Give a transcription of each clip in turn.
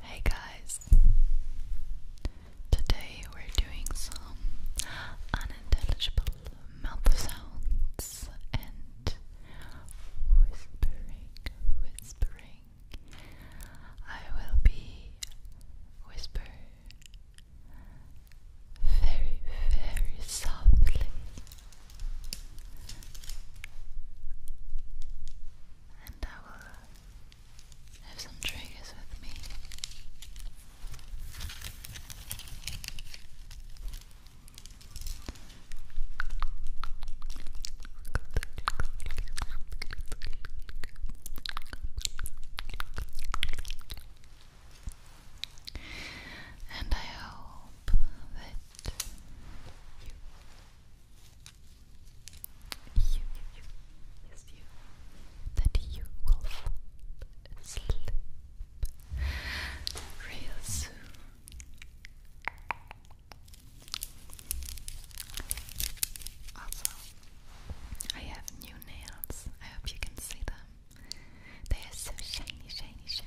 Hey guys, today we're doing some unintelligible mouth sounds and whispering, whispering. I will be whisper very, very softly and I will uh, have some triggers with me. And I hope that you, you, yes, you, that you will sleep real soon. Also, I have new nails. I hope you can see them. They are so shiny, shiny, shiny.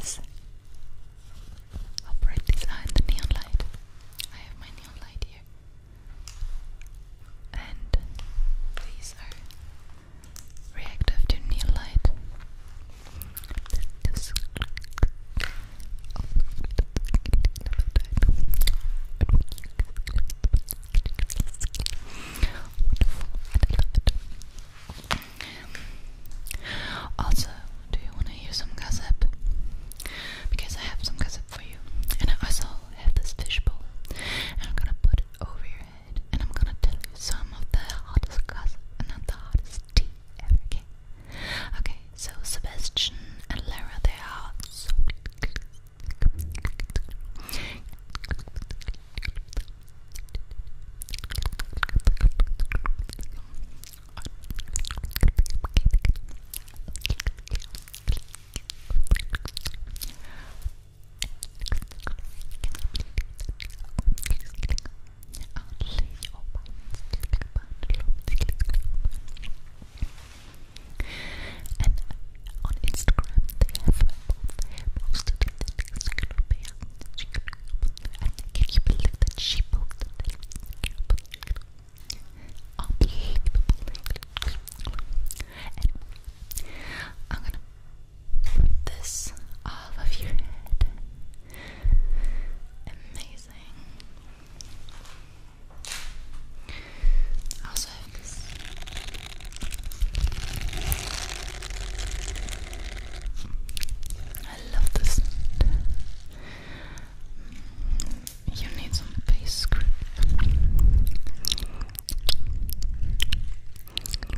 this operate this light, neon light I have my neon light here and these are reactive to neon light just also, do you want to hear some gossip? Because I have some gossip for you, and I also have this fishbowl, and I'm gonna put it over your head, and I'm gonna tell you some of the hottest gossip, and not the hottest Okay, so Sebastian and Lara, they are so only your And on Instagram, they have posted this Gloopia. And can you believe that she posted it? Unbelievable. I'm gonna this off of your head. Amazing. I also this. I love this. You need some base grip.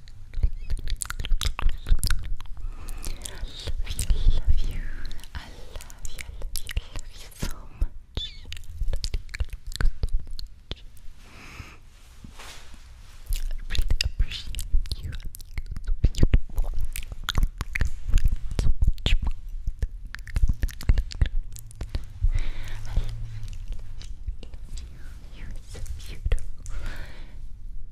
I love you. I love you. I love you so much. I really appreciate you. So much. I love you. You're so beautiful. Thank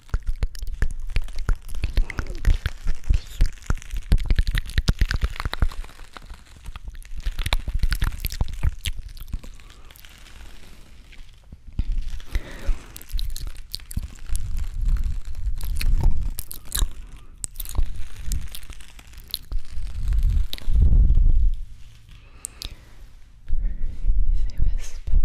They whisper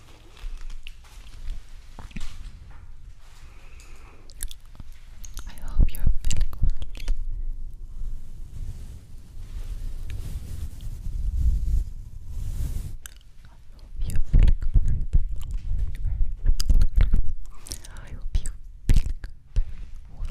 I hope you're feeling well. I hope you're feeling very, well. I hope you're feeling very well.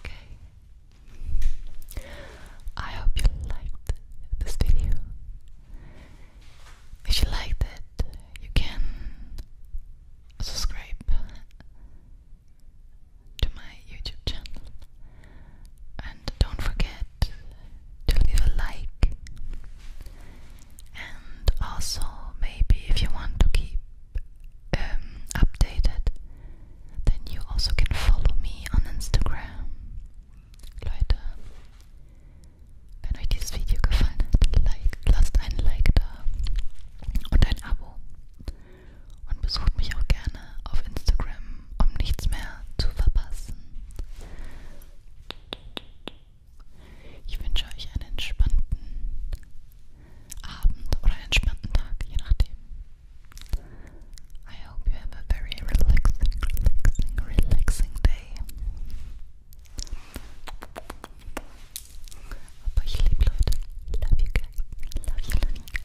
Okay. I hope you liked this video. If you liked it, you can subscribe to my YouTube channel and don't forget forget to leave a like and also maybe if you want to keep um, updated then you also can follow me on Instagram. Leute, wenn euch dieses Video gefallen hat, like, lasst ein Like da und ein Abo und besucht mich auch gerne auf Instagram, um nichts mehr zu verpassen. Ich wünsche euch einen entspannten Abend oder einen entspannten Tag, je nachdem. I hope you have a very relaxing, relaxing, relaxing day. Aber ich liebe Leute. Love you guys. Love you, love you guys.